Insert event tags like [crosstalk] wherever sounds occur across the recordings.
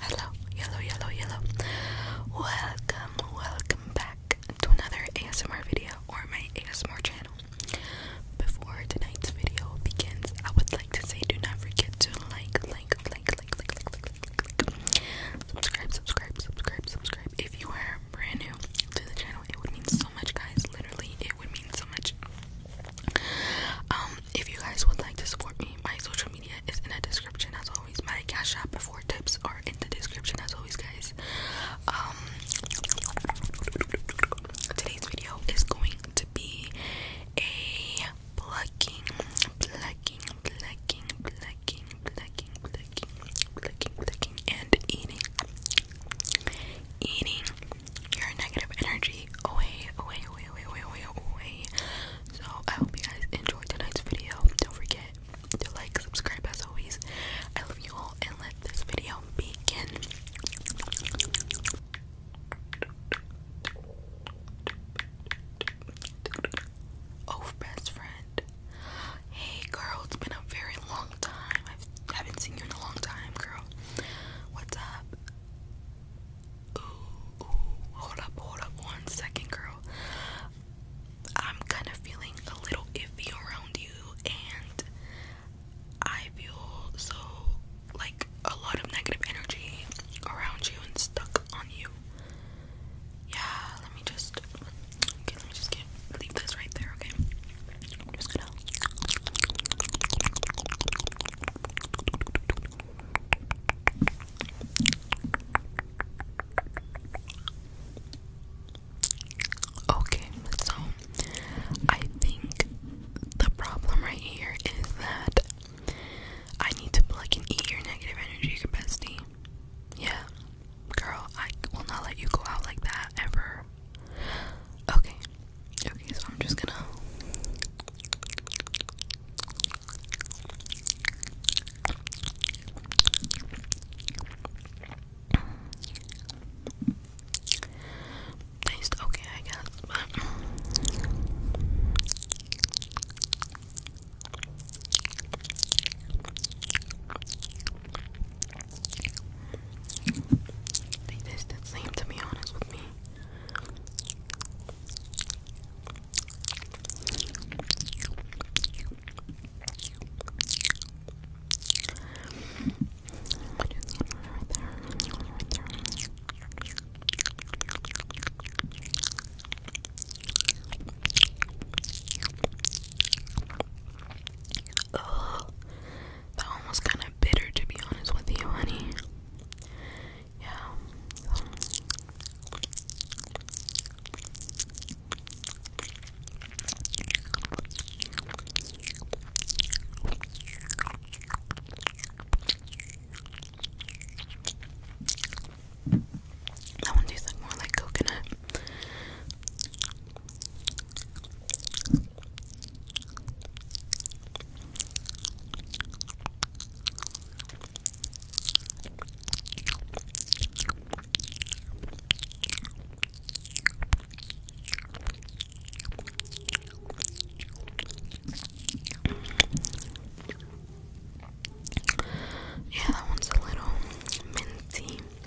Hello, yellow, yellow, yellow. Welcome, welcome back to another ASMR video or my ASMR channel. Before tonight's video begins, I would like to say do not forget to like, like, like, like, like, like, like, like, like. subscribe, subscribe, subscribe, subscribe. If you are brand new to the channel, it would mean so much, guys. Literally, would mean so much. Um, if you guys would like to support me, my social media is in the description as always. My cash app before tips are in the description as always, guys. Um, today's video is going to be a plucking, plucking, plucking, plucking, plucking, plucking, plucking, plucking, and eating, eating your negative energy away, away, away, away, away, away, away. So I hope you guys enjoyed tonight's video. Don't forget to like, subscribe as always. I love you all and let this video begin. Oh, best friend. Hey girl, it's been a very long time. I haven't seen you in a long time, girl. What's up? Ooh, hold up, hold up one second, girl. I'm kind of feeling a little iffy around you, and I feel so like a lot of negative energy around you and stuck on you. Yeah, let me just let me just leave this right there, okay? i Okay, so I think the problem right here is that I need to plug and eat your negative energy capacity. Yeah, girl, I will not let you go out like that ever. Okay. Okay, so I'm just gonna Taste okay, I guess, they taste the same, to be honest with me. That one was kind of bitter, to be honest with you, honey. Yeah. That one tastes more like coconut. Yeah, that one's a little minty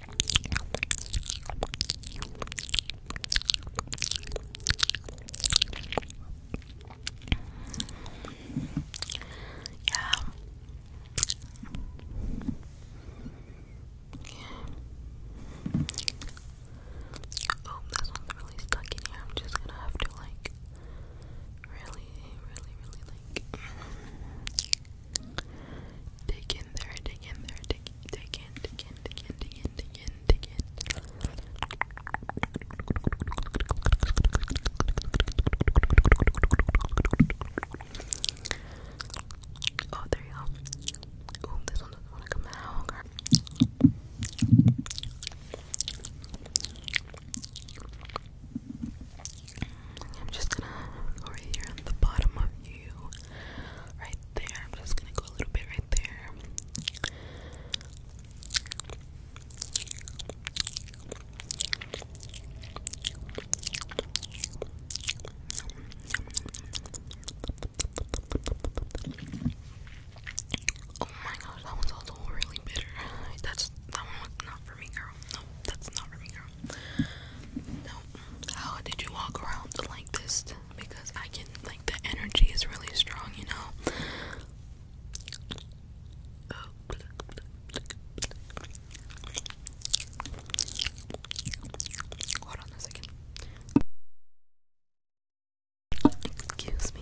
Yeah. Oh, this one's really stuck in here. I'm just gonna have to like really, really, really like Dig in there, dig in there, dig in, dig in, dig in, dig in, dig in, dig in, Oh, there you go. Oh, this one doesn't want to come out. I'm just gonna go right here on the bottom of you, right there. I'm just gonna go a little bit right there. Oh my gosh, that one's also really bitter. That's that one not for me, girl. No, that's not for me, girl. That how did you walk around like this? Because I can, like, the energy is really strong, you know? Hold on a second. Excuse me.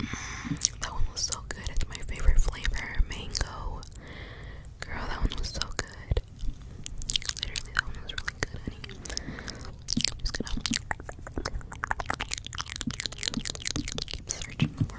Mm, that one was so good. It's my favorite flavor, mango. Girl, that one was so good. Literally, that one was really good, honey. I'm searching for more.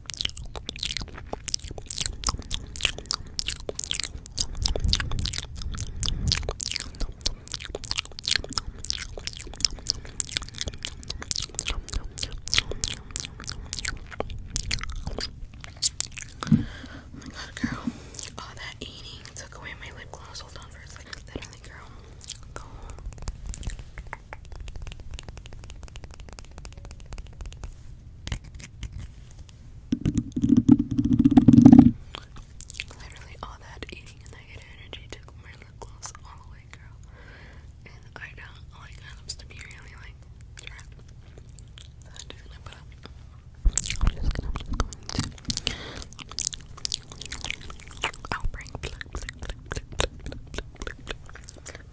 Oh my god, girl. Oh, that eating took away my lip gloss. Hold on for a second. Literally, girl. Go. Literally all that eating and negative energy took my lip gloss all the girl. And I don't like items I'm just gonna put up. I'm just gonna, I'm just to. put up i i am just going to i will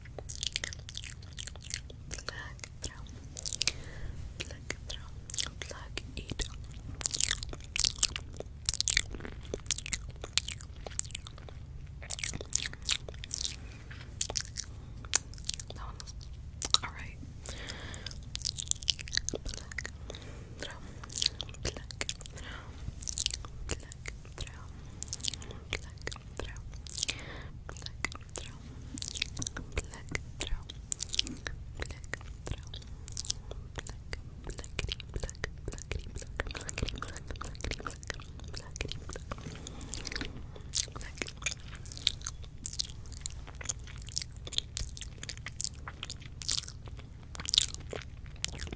Plug through. Plug through. Plug it. That one was alright. Pluck, throw, pluck, throw, pluck, throw, pluck, throw, pluck, throw, pluck, throw, pluck, throw, pluck, pluckity, pluck, pluckity, pluck, pluckity, pluck, pluckity, pluck, pluckity, pluck, pluck. Pluck,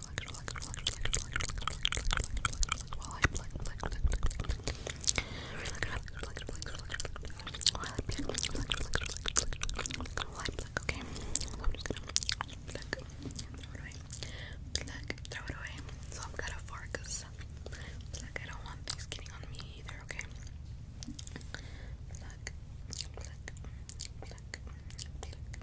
relax, relax, relax, relax, relax, while I relax, relax, relax, okay? So I'm just gonna pluck and throw it away. Pluck, throw it away. So I've got a fart because pluck, I don't want things getting on me either, okay? Pluck, pluck, pluck, pluck, pluck,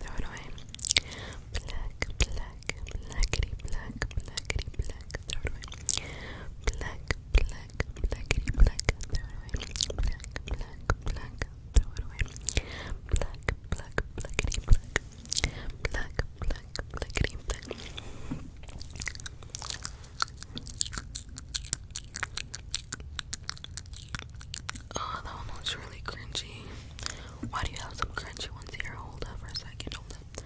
throw it away. Black, black, blackity, black, blackity, black, throw it away. Black, black, blackity, black, throw it away. Black, black, black, throw it away. Black, black, blackity, black. Black, black, blackity, black. Oh, that one looks really cringy. Why do you have some crunchy ones here? Hold up for a second. Hold up.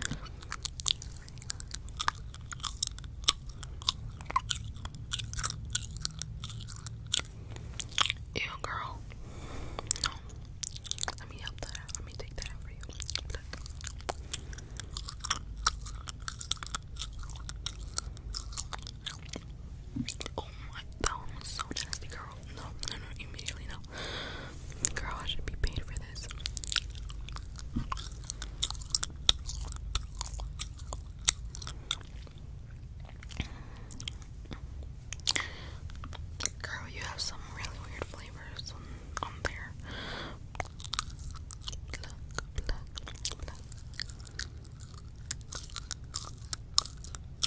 Ew, girl. Let me help that Let me take that for you. Oh my, that one was so nasty, girl. No, no, no, immediately no. Girl, I should be paid for this. Girl, you have some really weird flavors on, there.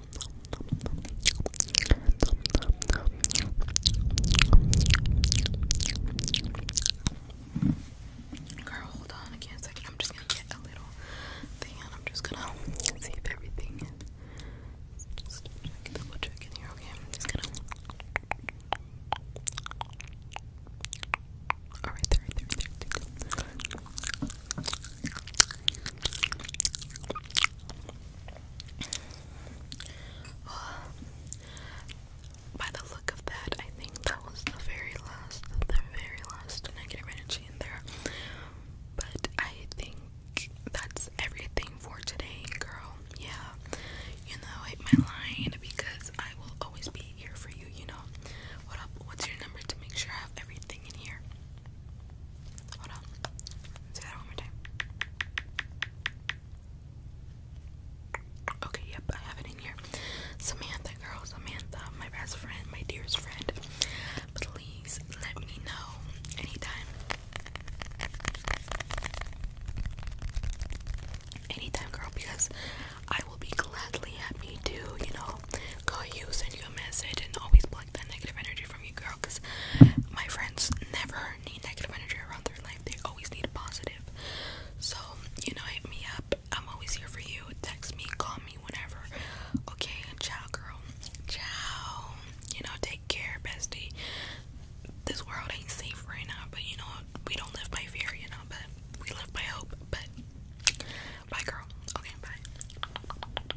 Girl, hold on again a second. I'm just gonna get a little thing and I'm just gonna see if everything is just check, double check in here, okay? I'm just gonna Alright there, right there, right there, right there. [sighs] by the look of that, I think that was the very last, the very last negative energy in there. But I think that's everything for today, girl. Yeah, you know, hit my line because I will always be here for you. You know, what up? What's your number to make sure I have everything in here? Hold on. Say that one more time. Okay, yep, I have it in here. Samantha, girl, Samantha, my best friend, my dearest friend. Please let me know anytime. Anytime, girl, because I will be gladly happy to, you know, call you, send you message, and always like negative energy from you, girl. Cause my friends never need negative energy around their life. They always need positive. So you know, hit me up. I'm always here for you. Text me, call me whenever. Okay, ciao, girl. Ciao. You know, take care, bestie. This world ain't safe right now, but you know, we don't live by fear, you know, but we live by hope. But bye, girl. Okay, bye.